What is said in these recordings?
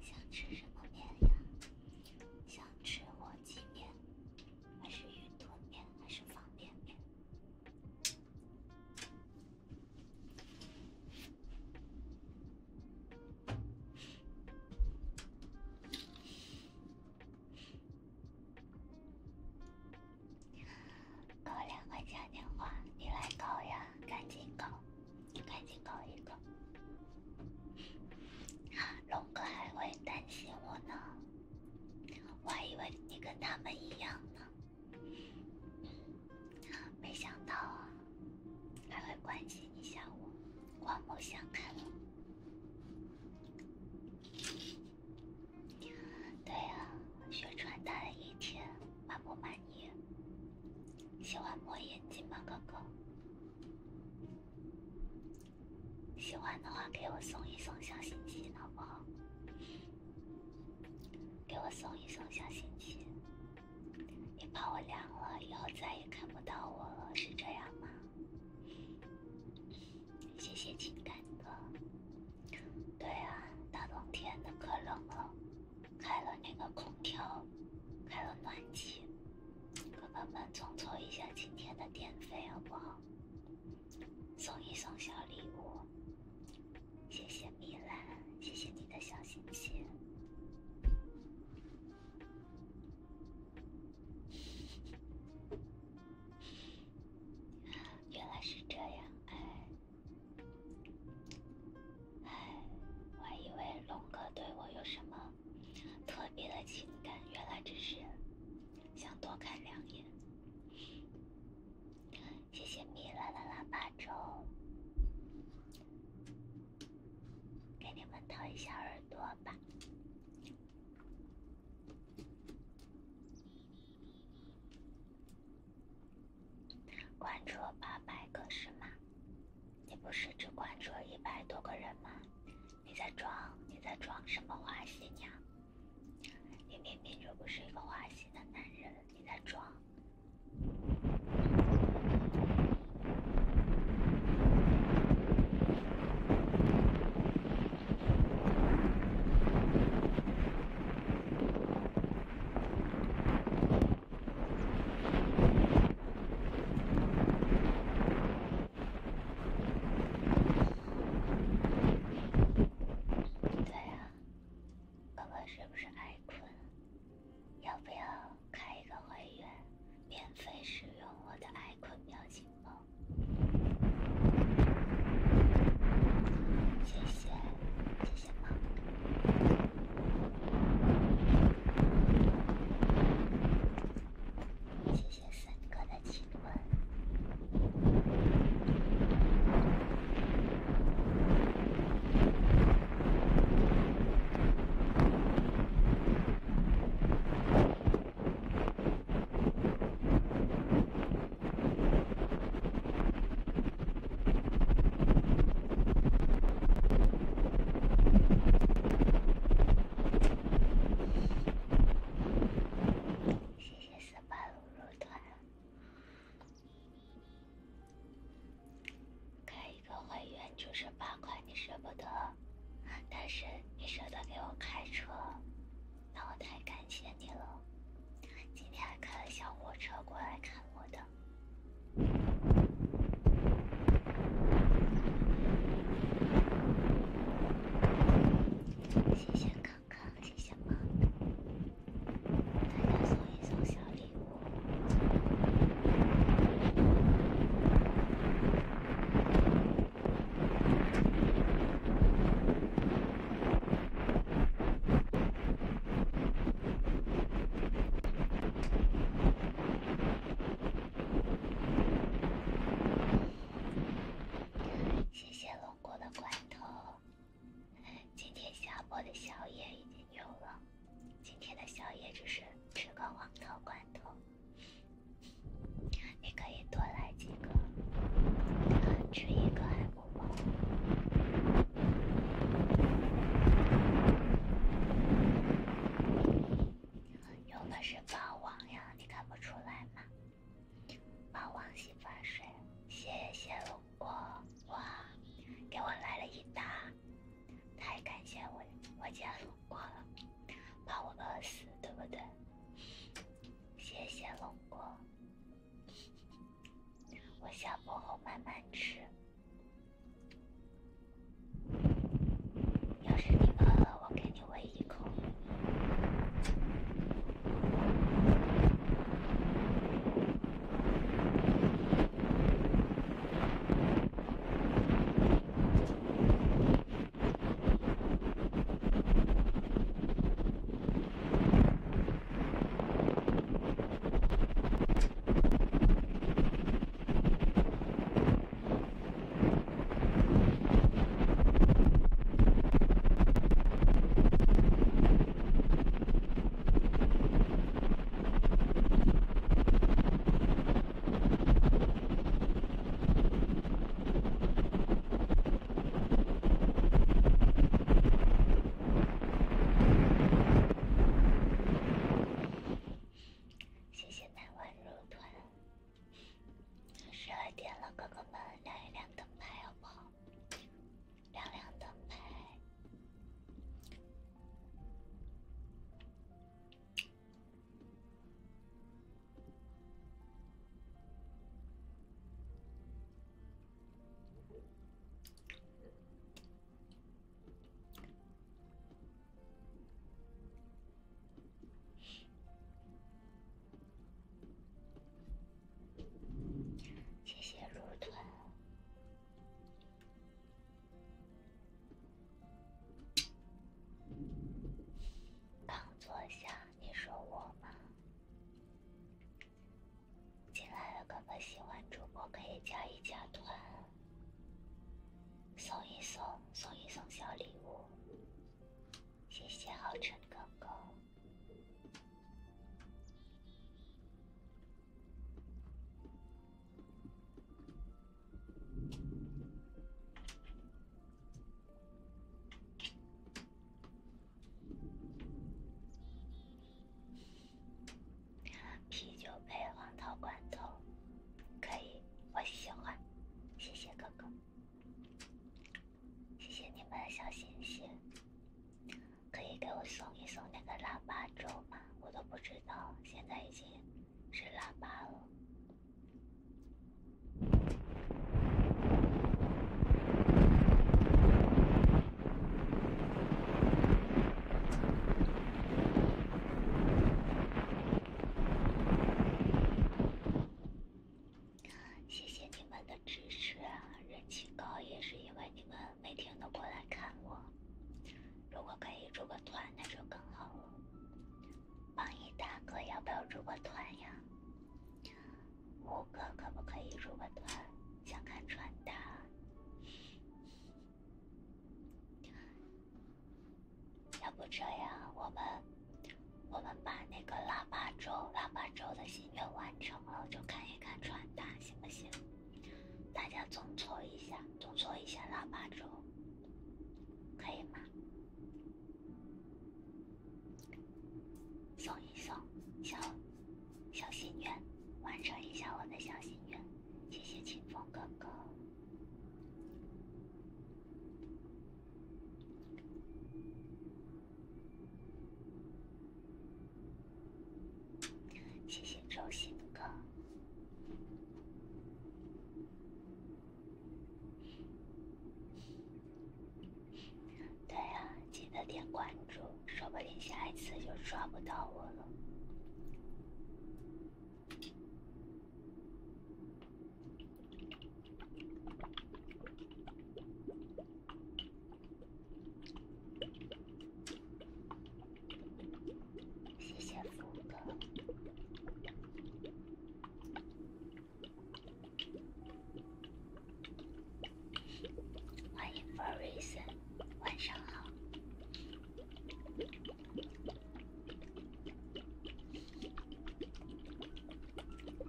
想吃什么面呀？想吃火鸡面。还是运动便还是方便便？狗粮快加点花，你来搞呀，赶紧狗，赶紧搞一个。龙哥还会担心我呢，我还以为你跟他们一样呢，没想到啊，还会关心一下我，刮目相看。对啊，学穿搭的一天满不满意？喜欢摸眼睛吗，哥哥？喜欢的话，给我送一送小心心，好不好？给我送一送小心心，别怕我凉了，以后再也看不到我了，是这样吗？谢谢情感的。对啊，大冬天的可冷了，开了那个空调，开了暖气。哥哥们，众筹一下今天的电费好不好？送一送小礼物，谢谢米兰，谢谢你的小心心。原来是这样，哎，哎，我还以为龙哥对我有什么？特别的情感，原来只是想多看两眼。谢谢米乐的腊八粥，给你们掏一下耳朵吧。关注了八百个是吗？你不是只关注了一百多个人吗？你在装，你在装什么花心呀？你明明就不是一个花心的男人，你在装。对啊，哥哥是不是爱困？要不要开一个会员，免费使用我的爱困表情包？谢谢，谢谢妈。一些深刻的提问。谢谢十八路肉团，开一个会员就是八块，你舍不得，但是你舍得给我开车，那我太感谢你了。今天还开了小火车过来看我的。谢谢康康，谢谢猫，大家送一送小礼物。谢谢龙果的罐头。今天下午的宵夜已经有了，今天的宵夜只是吃个黄桃罐头。你可以多来几个，吃一个还不饱。用的是霸王呀。你看不出来吗？霸王洗发水，谢谢龙哥哇，给我来了一打，太感谢我我见龙哥了，怕我饿死，对不对？谢谢龙哥，我下播后慢慢吃。要是你饿了，我给你喂一口。谢谢台湾肉团。十二点了，哥哥们亮一亮灯牌好不好？亮亮灯牌。谢谢入团。刚坐下，你说我吗？进来的哥哥喜欢主播可以加一加团。送一送，送一送小礼物，谢谢浩辰哥哥。啤酒杯、黄桃罐头。可以，我喜欢，谢谢哥哥，谢谢你们的小心心。可以给我送一送那个腊八粥吗？我都不知道，现在已经是腊八了。谢谢你们的支持，人气高也是因为你们每天都过来看我。如果可以入个团，那就更好了。榜一大哥要不要入个团呀？五哥可不可以入个团？想看穿搭。要不这样，我们我们把那个腊八粥，腊八粥的心愿完成了，就看一看传达行不行？大家总搓一下，总搓一下腊八粥，可以吗？送一送小小心愿，完成一下我的小心愿，谢谢清风哥哥。谢谢周星哥。对啊，记得点关注，说不定下一次就抓不到我了。谢谢福哥，a r i s o n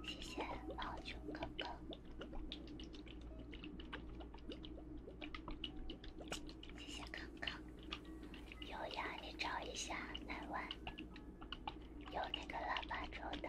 谢谢毛球哥哥，谢谢康康，有呀，你找一下南湾，有那个腊八粥的。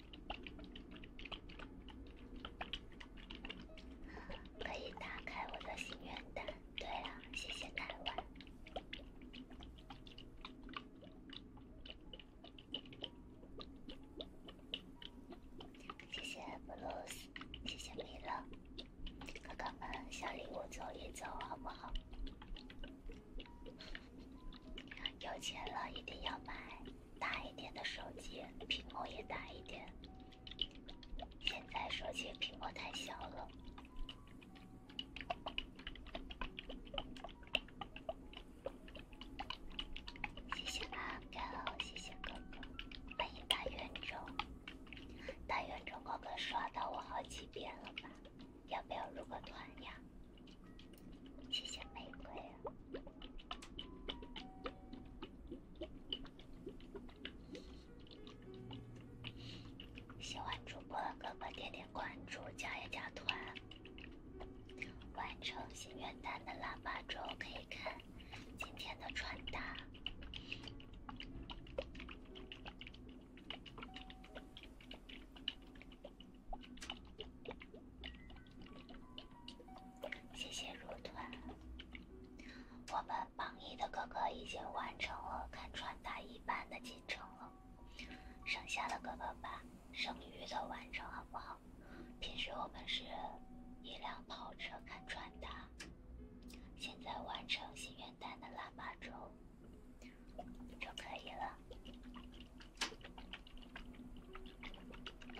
可以打开我的心愿单。对了，谢谢奶罐，谢谢 b l u 谢谢你了，哥哥们，小礼物走一走好不好？有钱了一定要买。大一点的手机，屏幕也大一点。现在手机屏幕太小了。谢谢阿甘，谢谢哥哥，欢迎大圆周，大圆周，哥哥刷到我好几遍了吧？要不要入个团呀？谢谢玫瑰。喜欢主播的哥哥点点关注，加一加团，完成心愿单的喇叭之后可以看今天的穿搭。谢谢入团。我们榜一的哥哥已经完成了看穿搭一板的进程了，剩下的哥哥把剩余的完成好不好？平时我们是一辆跑车看穿搭，现在完成心愿单的喇叭钟就可以了。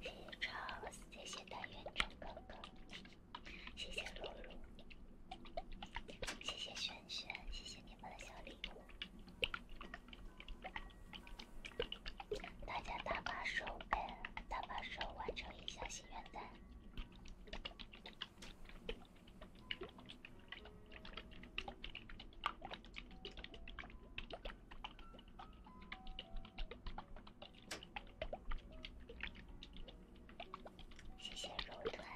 谢谢 Charles，谢谢大院长哥哥，谢谢露露，谢谢轩轩，谢谢你们的小礼物。大家打把手呗，打把手完成一下心愿单。谢谢肉团，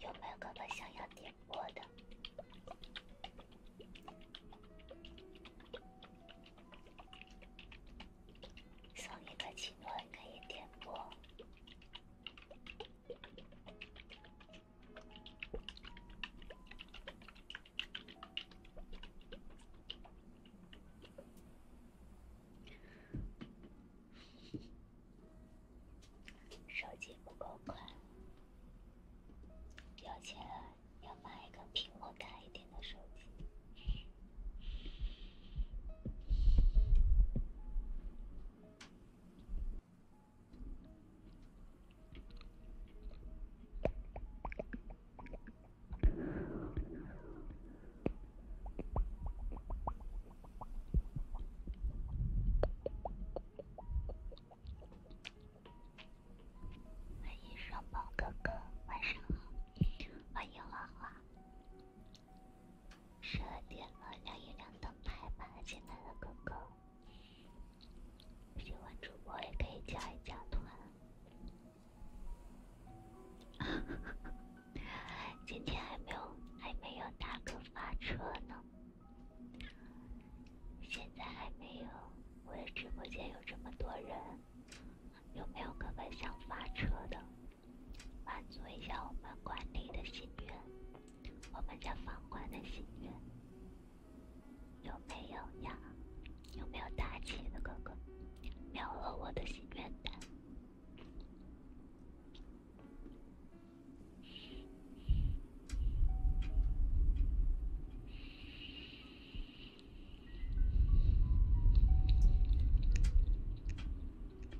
有没有哥哥想要点播的？送一个亲吻可以点播。手机不够宽，而且要买一个屏幕大一点的手机。欢迎双宝哥哥，晚上好。欢迎花花。十二点了，亮一亮灯牌吧，亲爱的哥哥。喜欢主播也可以加一加团。今天还没有，还没有大哥发车呢。现在还没有，我的直播间有这么多人，有没有哥哥想发车的？满足一下我们管理的心愿。我们家房管的心愿有没有呀？有没有大气的哥哥？秒了我的心愿单。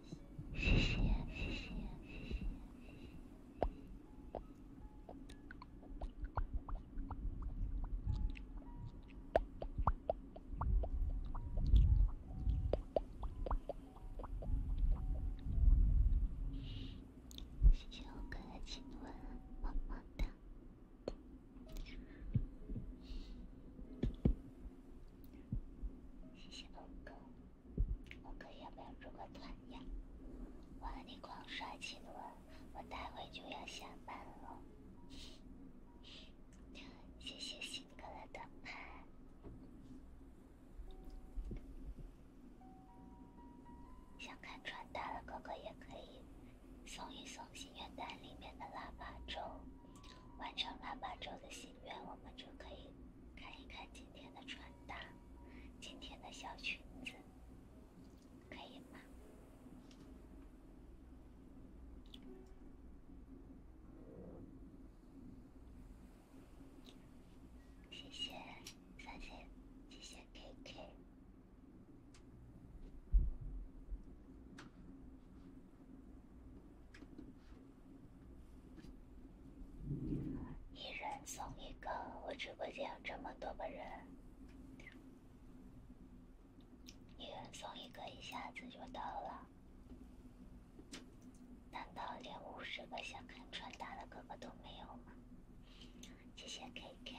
谢谢谢谢谢谢谢谢哥哥亲吻，么么哒，谢谢宝宝。我可要没有这个团呀？我和你狂刷情轮，我待会就要下班了。谢谢星哥的灯牌，想看穿搭的哥哥也可以送一送心愿单里面的腊八粥，完成腊八粥的心愿，我们就可以。看一看今天的穿搭，今天的小裙子，可以吗？谢谢三三，谢谢 K K。一人送一个，我直播间有这么多个人，一人送一个，一下子就到了。难道连五十个想看穿搭的哥哥都没有吗？谢谢 K K。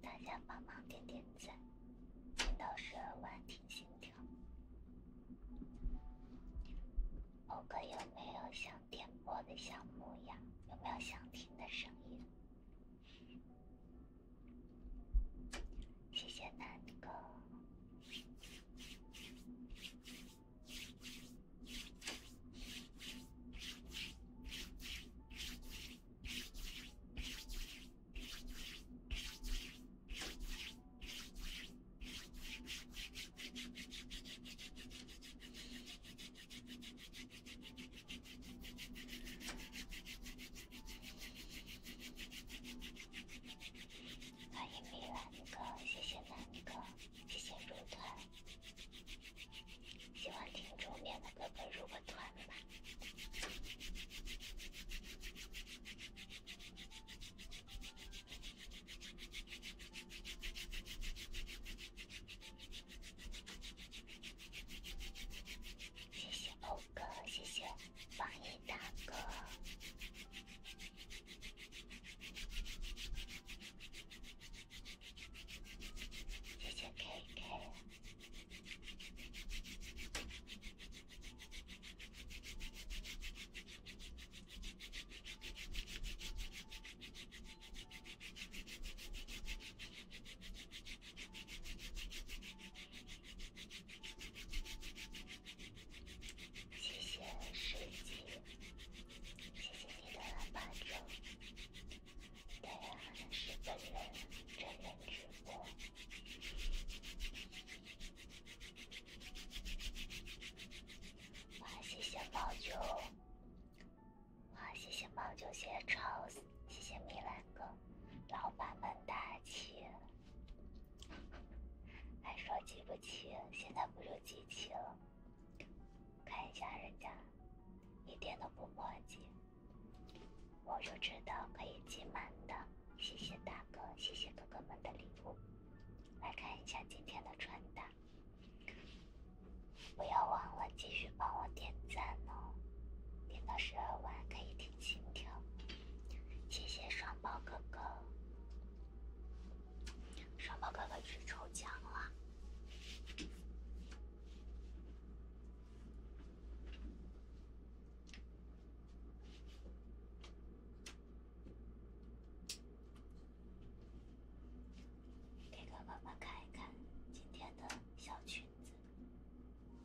大家帮忙点点赞，听到十二万听心跳。欧哥有没有想点播的项目呀？有没有想听的声音？谢谢楠哥。欢迎米兰哥，谢谢南哥，谢谢入团。喜欢听桌面的哥哥入个团吧，谢谢欧哥，谢谢。榜一大哥。谢谢 K K。谢谢水鸡，谢谢你的八九，对呀，是本人真人直播。哇，谢谢猫九，哇，谢谢猫九，谢谢超，谢谢米兰哥，老板们大气。还说记不清，现在不就记清了？看一下人家，一点都不墨迹，我就知道可以集满的。谢谢大哥，谢谢哥哥们的礼物。来看一下今天的穿搭，不要忘了继续帮我点赞哦，点到十二万可以倾听，谢谢双胞哥哥。双胞哥哥去抽奖了，给哥哥们看一看今天的小裙子。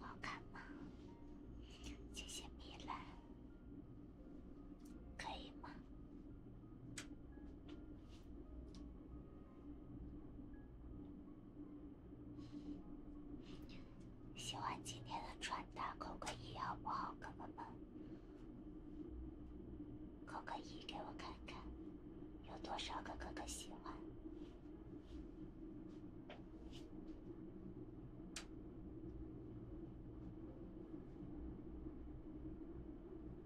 好看吗？谢谢米兰，可以吗？喜欢今天的穿搭，扣个一好不好，哥哥们？扣个一给我看看，有多少个哥哥喜欢？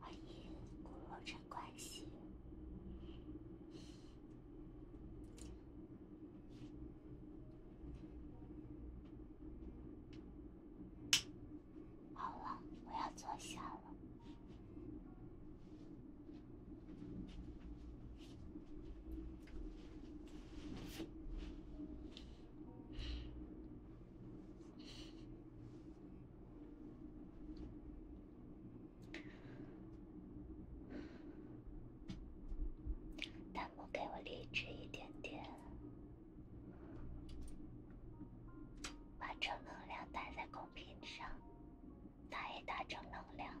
欢迎，顾若晨关心。好了，我要坐下了。弹幕给我励志一点点，把正能量打在公屏上，打一打正能量。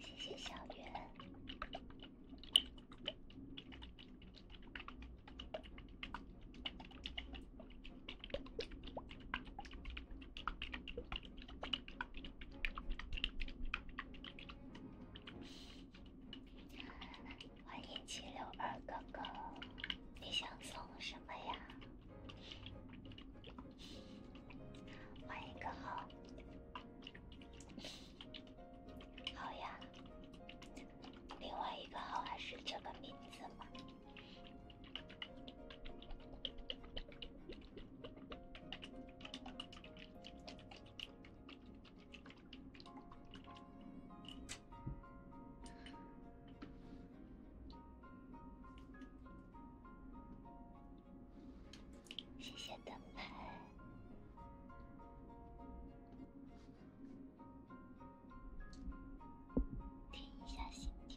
谢谢小圆。欢迎七六二哥哥，你想送什么呀？换一个号，好呀。另外一个号还是这个名字吗？谢谢灯牌，听一下心跳。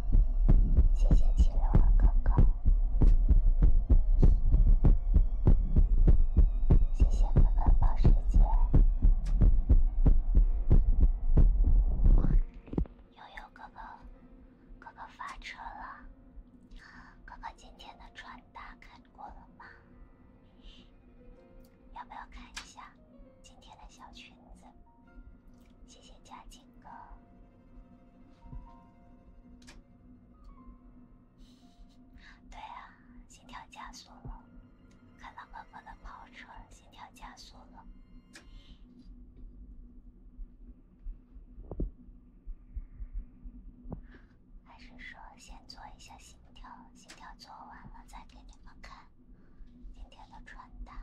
谢谢七六六哥哥，谢谢哥哥保时捷，悠悠哥哥，哥哥发车了，哥哥今天的穿搭看过了吗？要不要看一下今天的小裙子？谢谢嘉靖哥。对啊，心跳加速了，看到哥哥的跑车，心跳加速了。还是说先做一下心跳，心跳做完了再给你们看今天的穿搭。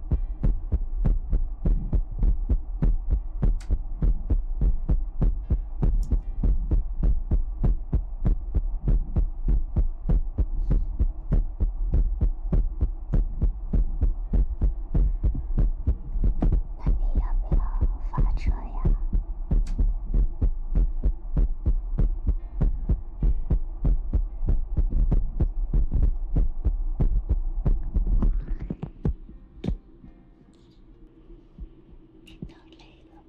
那你要不要发车呀？听到累了，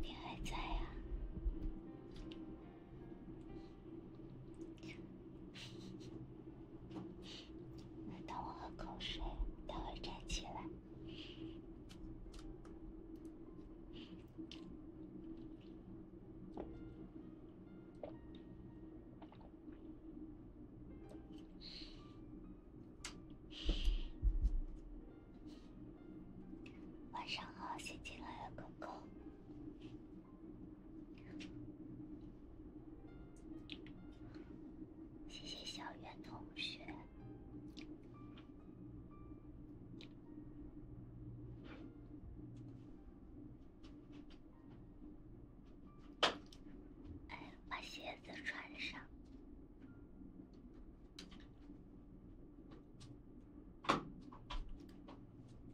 你还在啊？等我喝口水，等会站起来。晚上好，新进来的狗狗，谢谢小袁同学。哎，把鞋子穿上。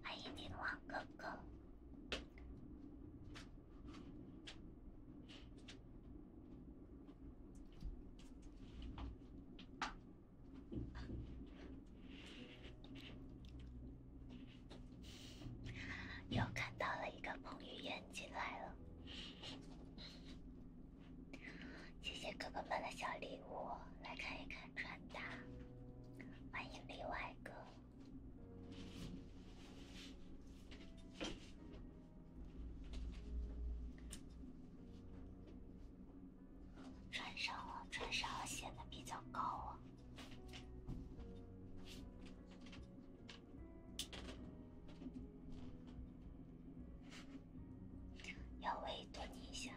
欢迎王哥哥。又看到了一个彭于晏进来了，谢谢哥哥们的小礼物，来看一看穿搭。欢迎例外哥，穿上了，穿上了，显得比较高啊。要猥琐你一下。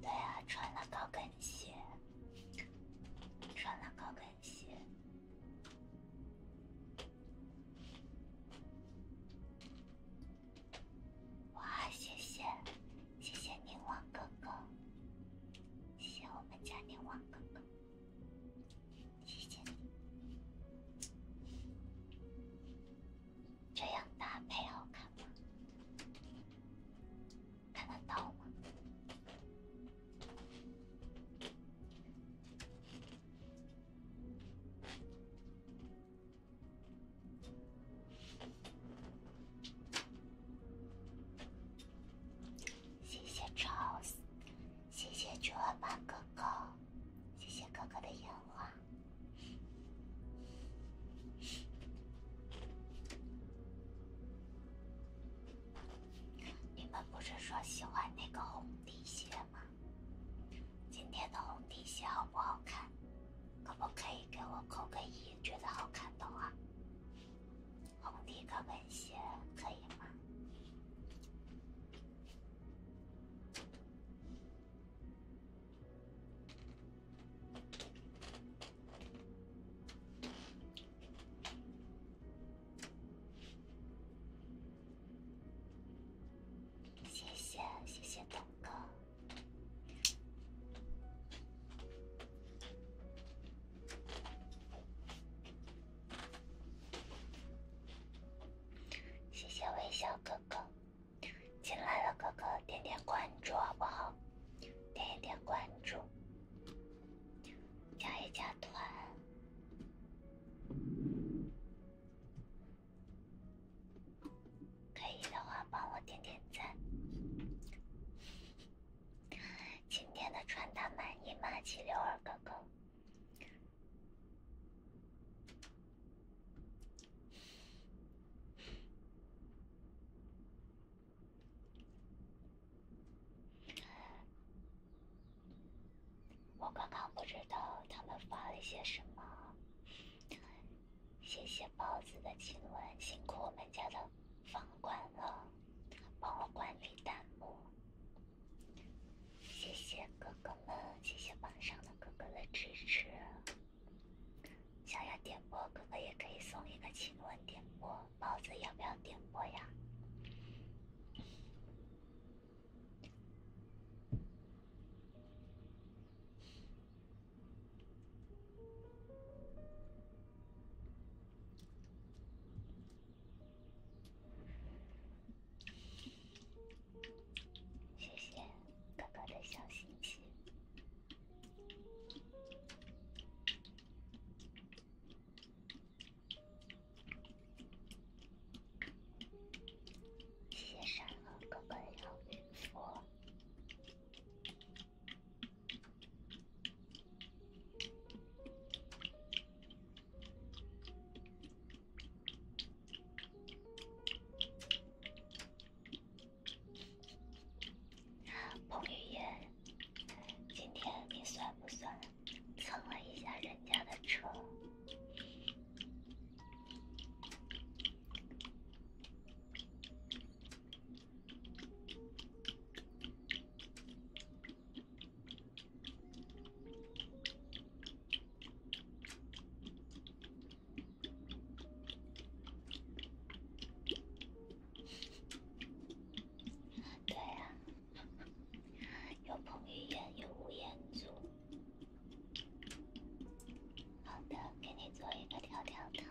对啊，穿了高跟鞋，穿了高跟鞋，哇，谢谢。谢谢宁王哥哥。谢谢我们家宁王哥哥。谢谢你，这样搭配好看吗？看得到吗？谢谢 Charles，谢谢绝版哥哥，谢谢哥哥的烟花。你们不是说喜欢那个红底鞋吗？今天的红底鞋好不好看？可不可以给我扣个一？觉得好看的话，红底高跟鞋可以吗？谢谢，谢谢董哥。谢谢微笑哥哥，进来了哥哥点点关注好不好？点点关注，加一加团，可以的话帮我点点赞。今天的穿搭满意吗，七六二哥哥？我刚刚不知道他们发了一些什么。谢谢包子的亲吻，辛苦我们家的房管了，帮我管理弹幕。谢谢哥哥们，谢谢榜上的哥哥的支持。想要点播哥哥也可以送一个亲吻点播，包子要不要点播呀？谢谢哥哥的小星星，谢谢善哥哥哥的礼物。彭于晏，今天你算不算蹭了一下人家的车？对啊，有彭于晏，有吴彦祖。好的，给你做一个跳跳糖。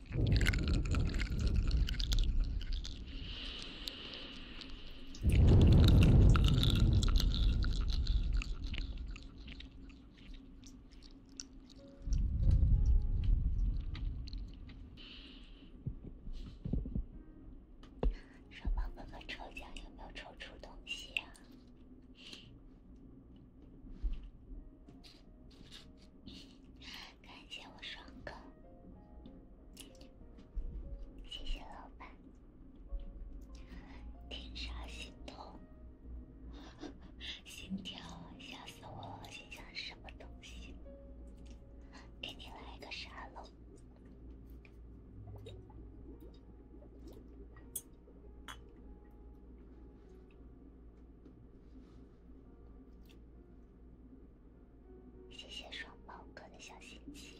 双胞哥哥抽奖有没有抽出东西啊？感谢我爽哥，谢谢老板，听啥心痛，心跳吓死我，心想什么东西，给你来一个沙漏。谢谢双宝哥的小心心。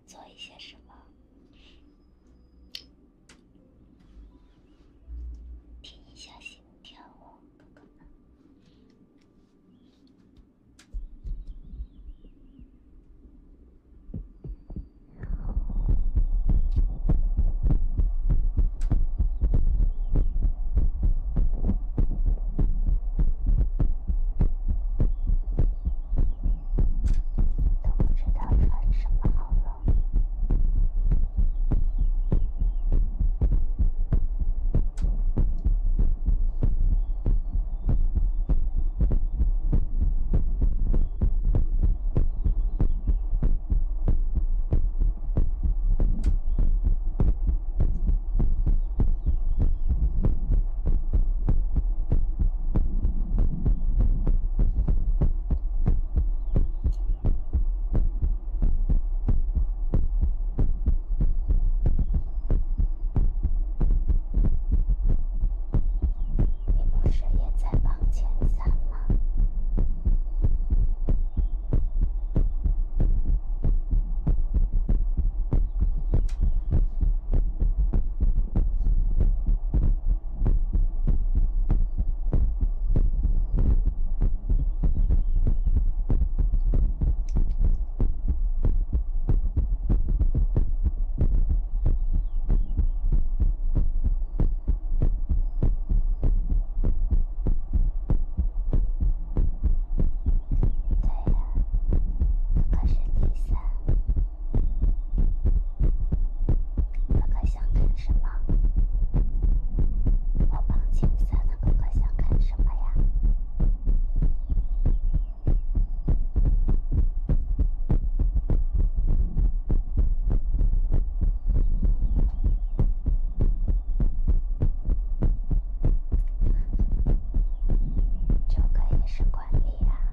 做一些什么？听一下心跳哦，哥哥。都不知道穿什么好了。你不是也在榜前三吗？对呀，可是第三。哥哥想干什么？我绑金三，哥哥想干什么呀？就可以升管理啊。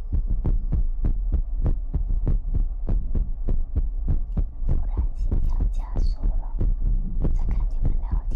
突然心跳加速了，再看你们聊天。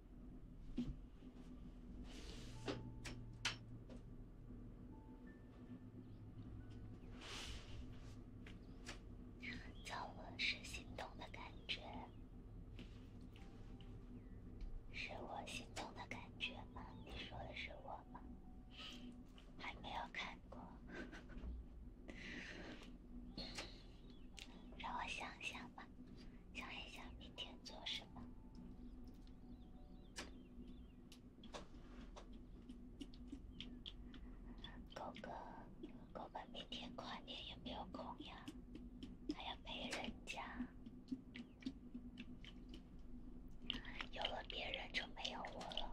错了是心动的感觉，是我心动的感觉吗？你说的是我吗？还没有看过，让我想想吧。想一想明天做什么？狗哥，狗哥，明天跨年有没有空呀？还要陪人家，有了别人就没有我了。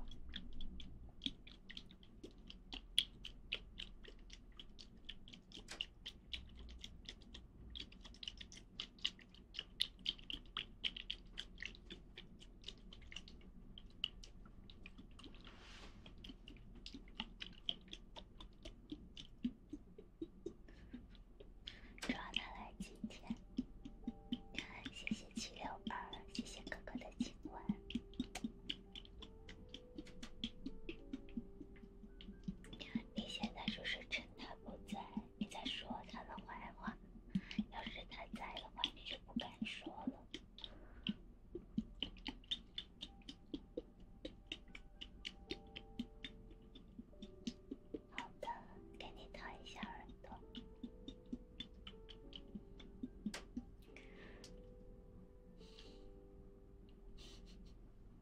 抓他来今天，谢谢七六二，谢谢哥哥的亲吻。你现在就是趁他不在，你在说他的坏话。要是他在的话，你就不敢说了。好的，给你掏一下耳朵。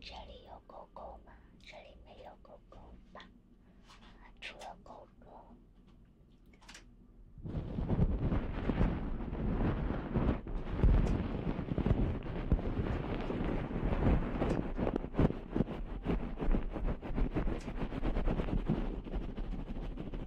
这里有狗狗吗？这里没有狗狗吧？除了狗狗。